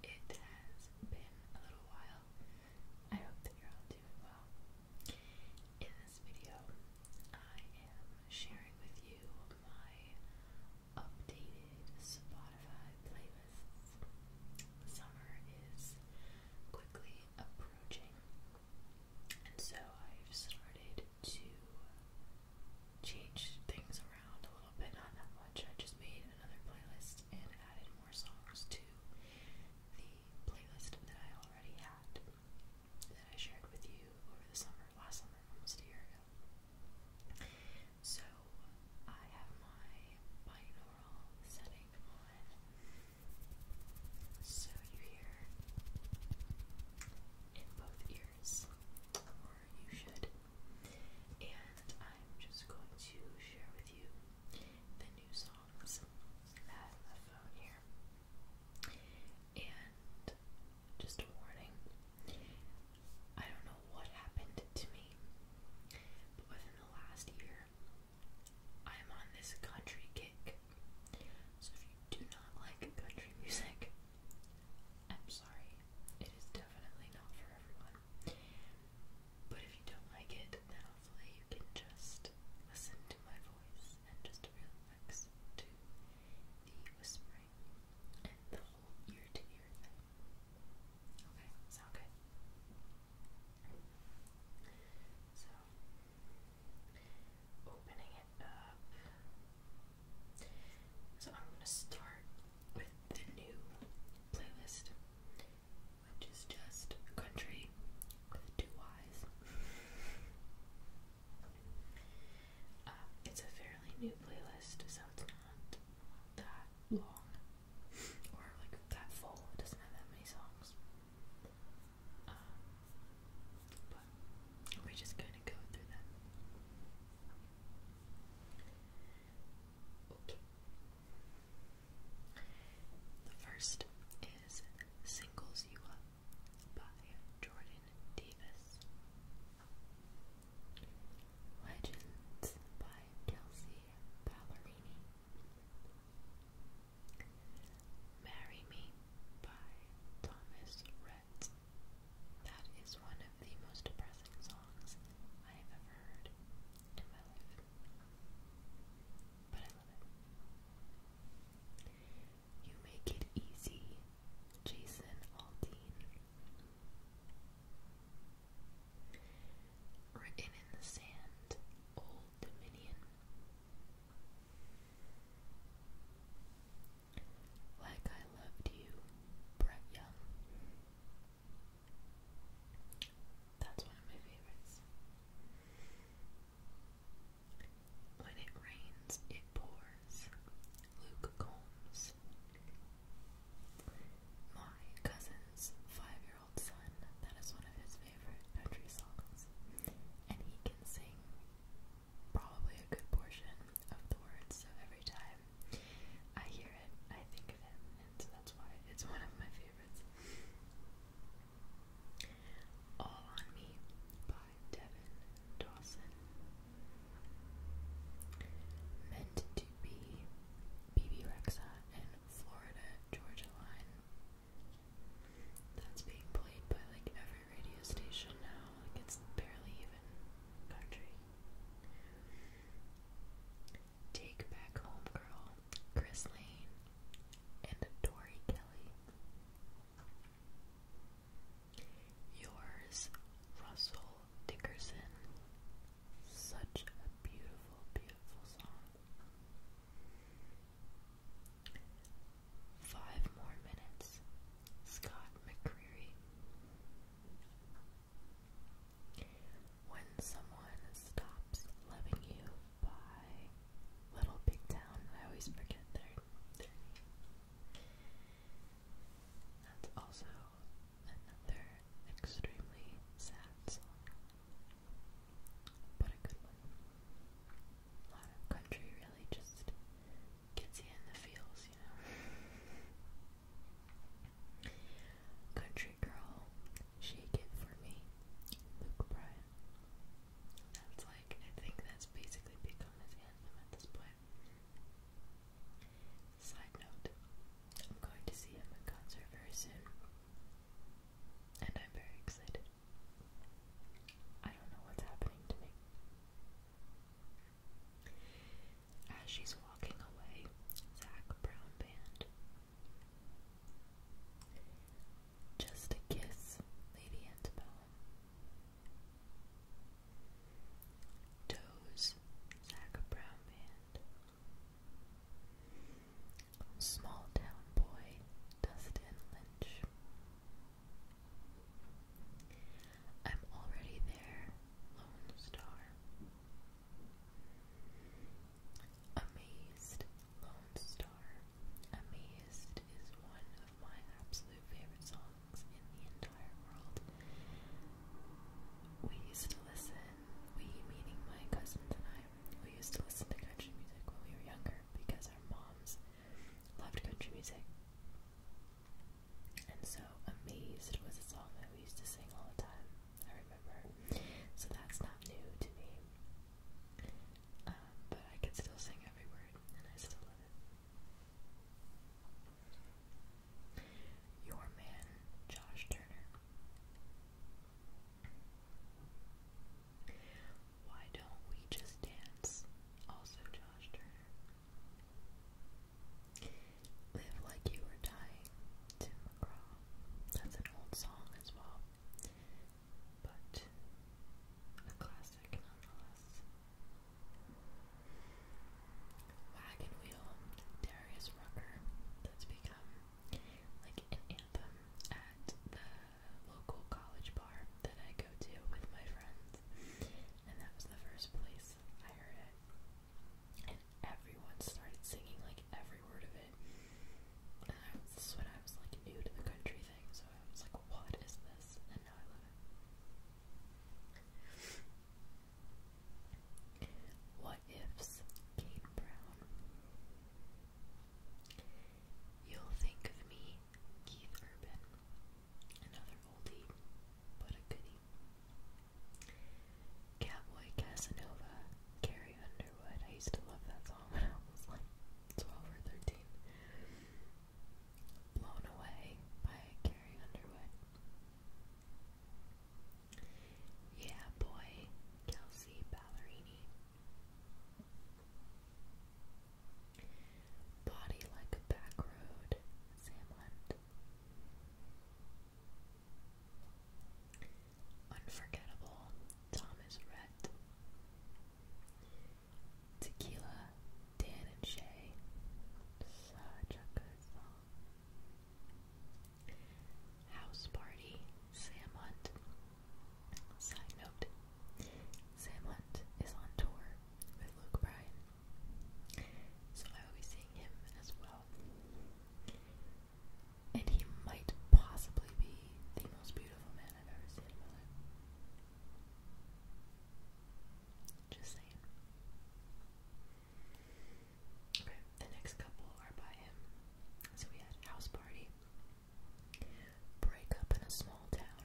Hey guys, it has been a little while. I hope that you're all doing well. In this video, I am sharing with you my updated Spotify playlist. Summer is quickly approaching, and so I've started to change things around a little bit, not that much. I just made another playlist and added more songs to the playlist that I already had that I shared with you over the summer, last summer, almost a year ago. So I have my binaural setting on. So you hear in both ears, or you should. And I'm just going to share with you the new songs I have here. And just a warning, I don't know what happened to me, but within the last year, I'm on this country kick. So if you do not like country music, I'm sorry. It is definitely not for everyone. But if you don't like it, then hopefully you can just listen to my voice and just relax to the whispering and the whole ear to ear thing. Okay, sound good. So, opening it up. So, I'm going to start with the new playlist, which is just country with two Y's. Uh, it's a fairly new playlist, so it's not that long or like that full. doesn't have that many songs. Um, but we just kind of go through them. Okay. The first is Singles You Up by Jordan Davis. Legends by Kelsey Ballerini. Marry Me by Thomas Rhett. That is one of the most depressing songs I have ever heard in my life. But I love it. You Make It Easy, Jason Aldean. Written in the sand, Old Dominion. Like I loved you, Brett Young. That's one of my favorites. When it rains, it pours. Luke Combs. States. My cousin's five year old son, that is one of his favorite country songs, and he can sing probably a good portion of the words, so every time I hear it, I think of him, and so that's why it's one of my favorites. All on Me by Devin Dawson. Meant to Be BB Rexa and Florida Georgia Line. That's being played by like every radio station now. Like it's barely even country. Take Back Home Girl, Chris Lane, and Tori Kelly. Yours, Russell Dickerson. Such a beautiful, beautiful song. Five more minutes. Scott McCreery. When someone stops loving you by Little Big Town, I always forget their name. That's also Another extremely sad but a good one. A lot of country really just gets you in the feels, you know. Country Girl, Shake It For Me, Luke Bryan. That's like, I think that's basically become his anthem at this point. Side note, I'm going to see him in concert very soon. And I'm very excited. I don't know what's happening to me. As she's walking away, Zach Brown Band. Just a kiss, Lady Antebellum. Toes, Zach Brown Band. Small Town Boy, Dustin Lynch. I'm already there, Lone Star. Amazed, Lone Star. Amazed is one of my absolute favorite songs in the we used to listen, we meaning my cousins and I, we used to listen to country music when we were younger because our moms loved country music. And so Amazed was a song that we used to sing all the time, I remember. So that's not new to me. Um, but I can still sing every word, and I still love it. Your man, Josh Turner. Why don't we just dance? Also, Josh Turner. Live Like You Are Dying, Tim That's an old song as well, but a classic nonetheless. Wagon Wheel, Darius Rucker, that's become like an anthem at the local college bar that I go to with my friends. And that was the first place I heard it. And everyone started singing like every word of it. And I was, this is when I was like new to the country thing, so I was like, what is this? And now I love it. What ifs, Kate Brown. You'll think of me, Keith Urban. Another oldie, but a goodie. Cowboy Casanova, Carrie Underwood. I used to love that song when I was like 12 or 13. Blown Away by Carrie Underwood. Yeah, boy, Kelsey Ballerini. Body like a back road, Sam Unforgettable, Thomas Rhett. Tequila, Dan and Shay. Such a good song. House Party, Sam Hunt. Side note Sam Hunt is on tour with Luke Bryan, so I will be seeing him as well. And he might possibly be the most beautiful man I've ever seen in my life. Just saying. Okay, the next couple are by him. So we had house party, break up in a small town,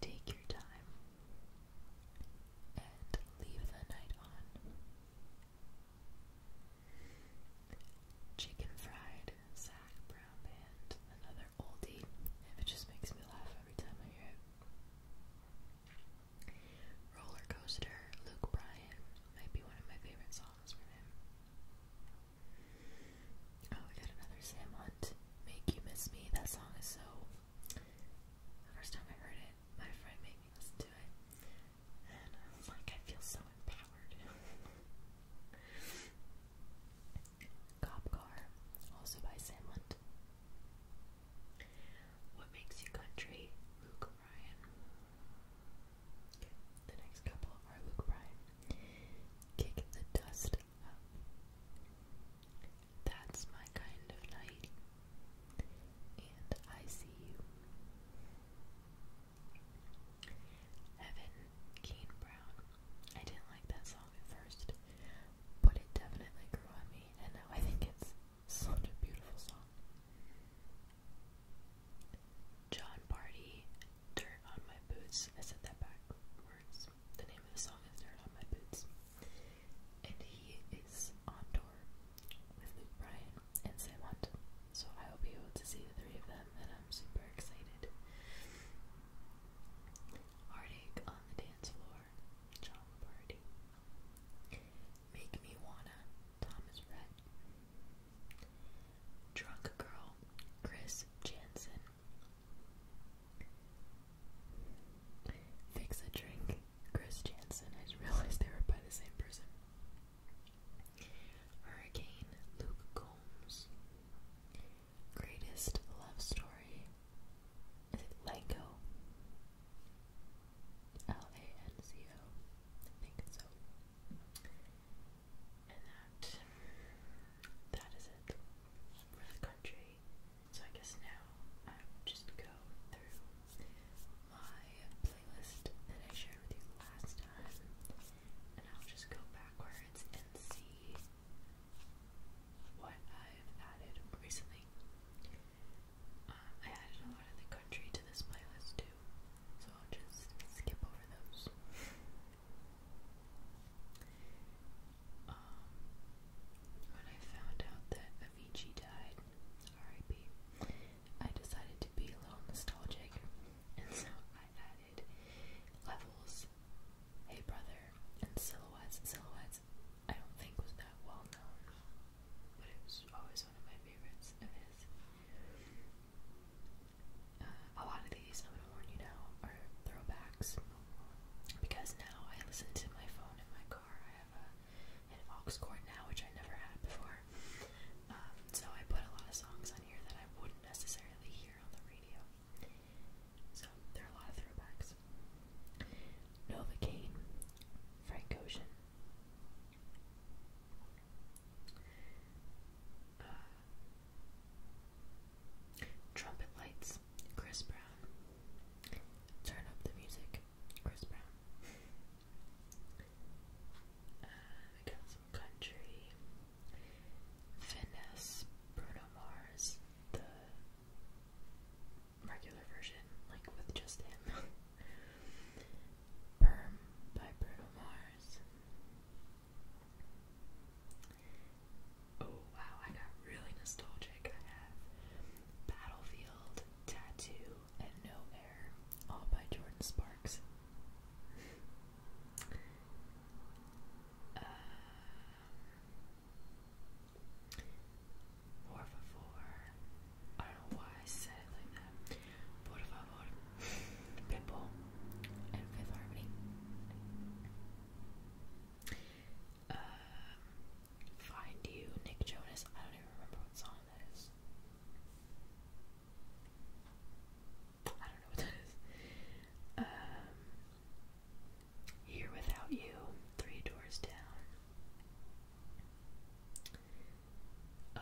take your time, and leave the night on. Chicken fried, Zach Brown Band, another oldie. It just makes me laugh every time I hear it. Roller Coaster, Luke Bryan, might be one of my favorite songs Oh, we got another Sam Hunt, Make You Miss Me. That song is so. The first time I heard it, my friend made me listen to it. And I was like, I feel so empowered. Cop Car, also by Sam Hunt. What makes you country? Luke Bryan. the next couple are Luke Bryan. Kick the dust up. That's my kind of night. And I see you. Evan Kane Brown. I didn't like that song at first, but it definitely grew on me, and I think it's such a beautiful song. John Barty, Dirt on My Boots. I said that backwards. The name of the song is Dirt on My Boots. And he is on tour with Luke Bryan and Sam Hunt. So I will be able to see the three of them, and I'm super excited. Heartache on the Dance Floor. Dunbar, John Make Me Wanna, Thomas Rhett. Drunk Girl, Chris Jansen. Fix a Drink, Chris Jansen. I just realized they were by the same person. Hurricane, Luke Combs. Greatest Love Story, is it Lanco? L A N C O. I think so. And that that is it for the country. So I guess now I will just go through my playlist that I shared with you last time, and I'll just go backwards and see what I've added recently I added a lot of the country to this playlist too, so I'll just skip over those. Um, when I found out that Avicii died, R.I.P., I decided to be a little nostalgic, and so I added levels, Hey Brother, and Silhouettes, Silhouettes, I don't think was that well known, but it was always one of my favorites of his. Uh, a lot of these, I'm gonna warn you now, are throwbacks because now I listen to my phone in my car. I have a, an aux cord now, which I never had before. Um, so I put a lot of songs on here that I wouldn't necessarily hear on the radio. So there are a lot of throwbacks. Novocaine, Frank Ocean. Uh, trumpet Lights, Chris Brown. Turn Up the Music, Chris Brown. Uh, got some country. Finesse, Bruno Mars, the regular version, like with just him. Perm by Bruno Mars. Oh wow, I got really nostalgic. I have Battlefield, Tattoo, and No Air, all by Jordan Sparks. Uh, Por I don't know why I said it like that. Por Pitbull and Fifth Harmony. Um, find you, Nick Jonas. I don't even remember what song that is. I don't know what that is. Um, here Without You, Three Doors Down, uh,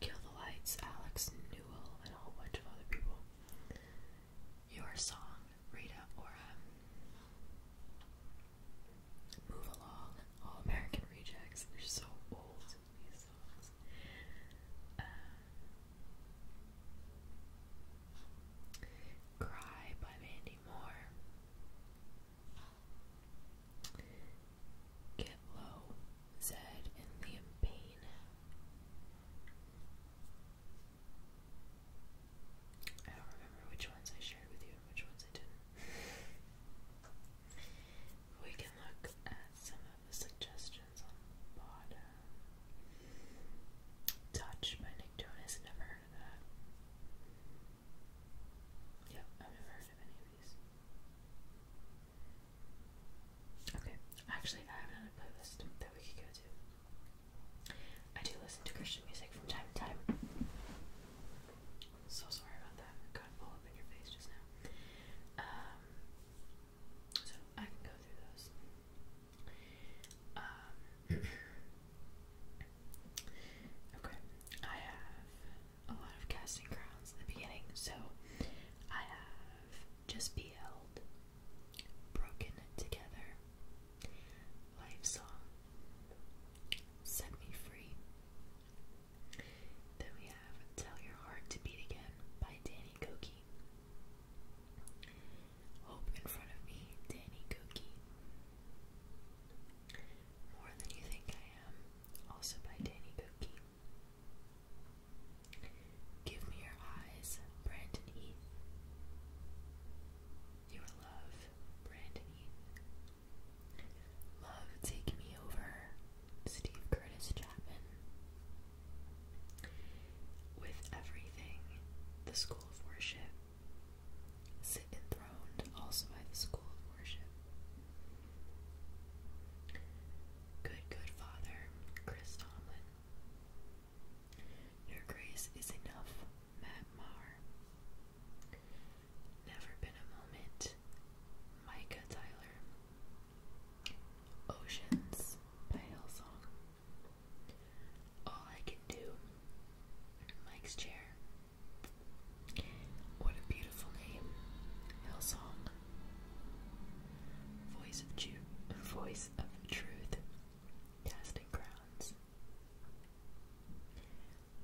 Kill the Lights, Alex Newell, and a whole bunch of other people. Your Song, Rita Ora, Move Along, All American Rejects. They're so old, these songs. Uh, Cry by Mandy Moore, Get low, said in the pain. I don't remember which ones I shared with you and which ones I didn't. we can look at some of the suggestions on the bottom. Touch by Nick Jonas never heard I've never heard of any of these. Okay, actually, I have another playlist that we could go to. I do listen to Christian music from time to time. So sorry about that. got all up in your face just now. Um, so I can go through those. Um, okay, I have a lot of casting crowns in the beginning, so I have just be held, broken together, life song, set me free. Then we have Tell Your Heart to Beat Again by Danny Goki. Hope in front of me, Danny Cookie. More Than You Think I Am, also by Danny Cookie. Give Me Your Eyes, Brandon Heath. Your Love, Brandon Heath. Love, Take Me Over, Steve Curtis Chapman. With Everything, The School of Worship, sit enthroned also by the school of worship. Good, good Father, Chris Tomlin. Your grace is enough, Matt Marr. Never been a moment, Micah Tyler. Oceans by Hillsong. All I can do. Mike's chair. What a beautiful name. Hillsong. Voice of Ju voice of truth. Casting crowns.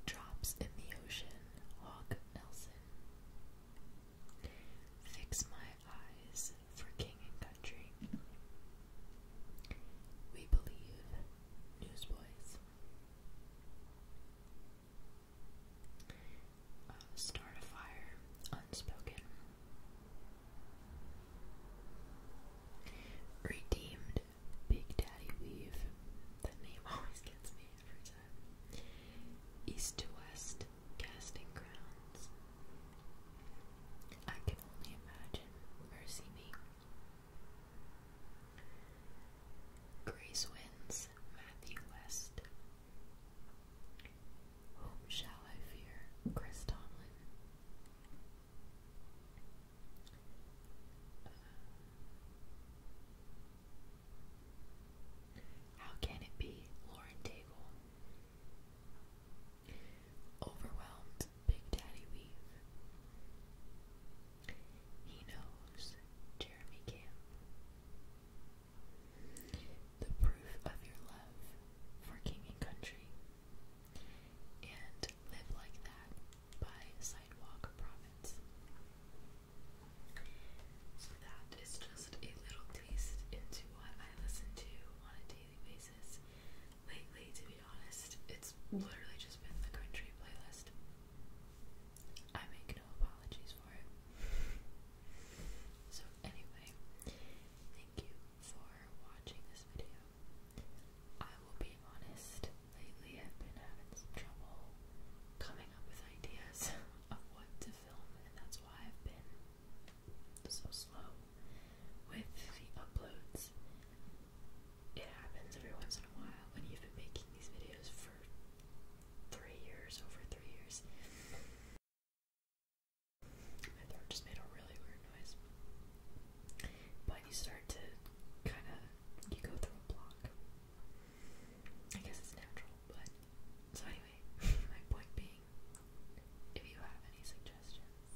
Drops in the ocean. Hawk Nelson. Fix my eyes for king and country. We believe Newsboys. Uh, start a fire, unspoken. Redeemed, Big Daddy Weave. That name always gets me every time. East to West, Casting Grounds. I can only imagine. Mercy me. Grace wins, Matthew West. Whom shall I fear? Chris Tomlin. Uh, how can it be? Lauren Daigle. Overwhelmed, Big Daddy Weave. He knows Jeremy Camp. The proof of your love for King and Country. And Live Like That by Sidewalk Province. So that is just a little taste into what I listen to on a daily basis lately, to be honest. It's literally just been the country playlist. I make no apologies for it. So, anyway, thank you for watching this video. I will be honest, lately I've been having some trouble coming up with ideas of what to film, and that's why I've been so slow with the uploads it happens every once in a while when you've been making these videos for three years, over three years. My throat just made a really weird noise. But you start to kind of, you go through a block. I guess it's natural, but. So, anyway, my point being, if you have any suggestions,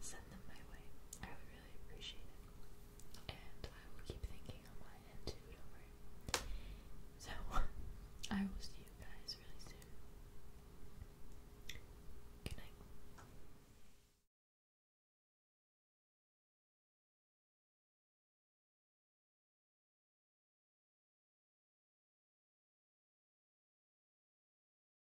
send them my way. I would really appreciate it. And I will keep thinking on my end too, don't worry. So, I will see you guys really soon. Good night.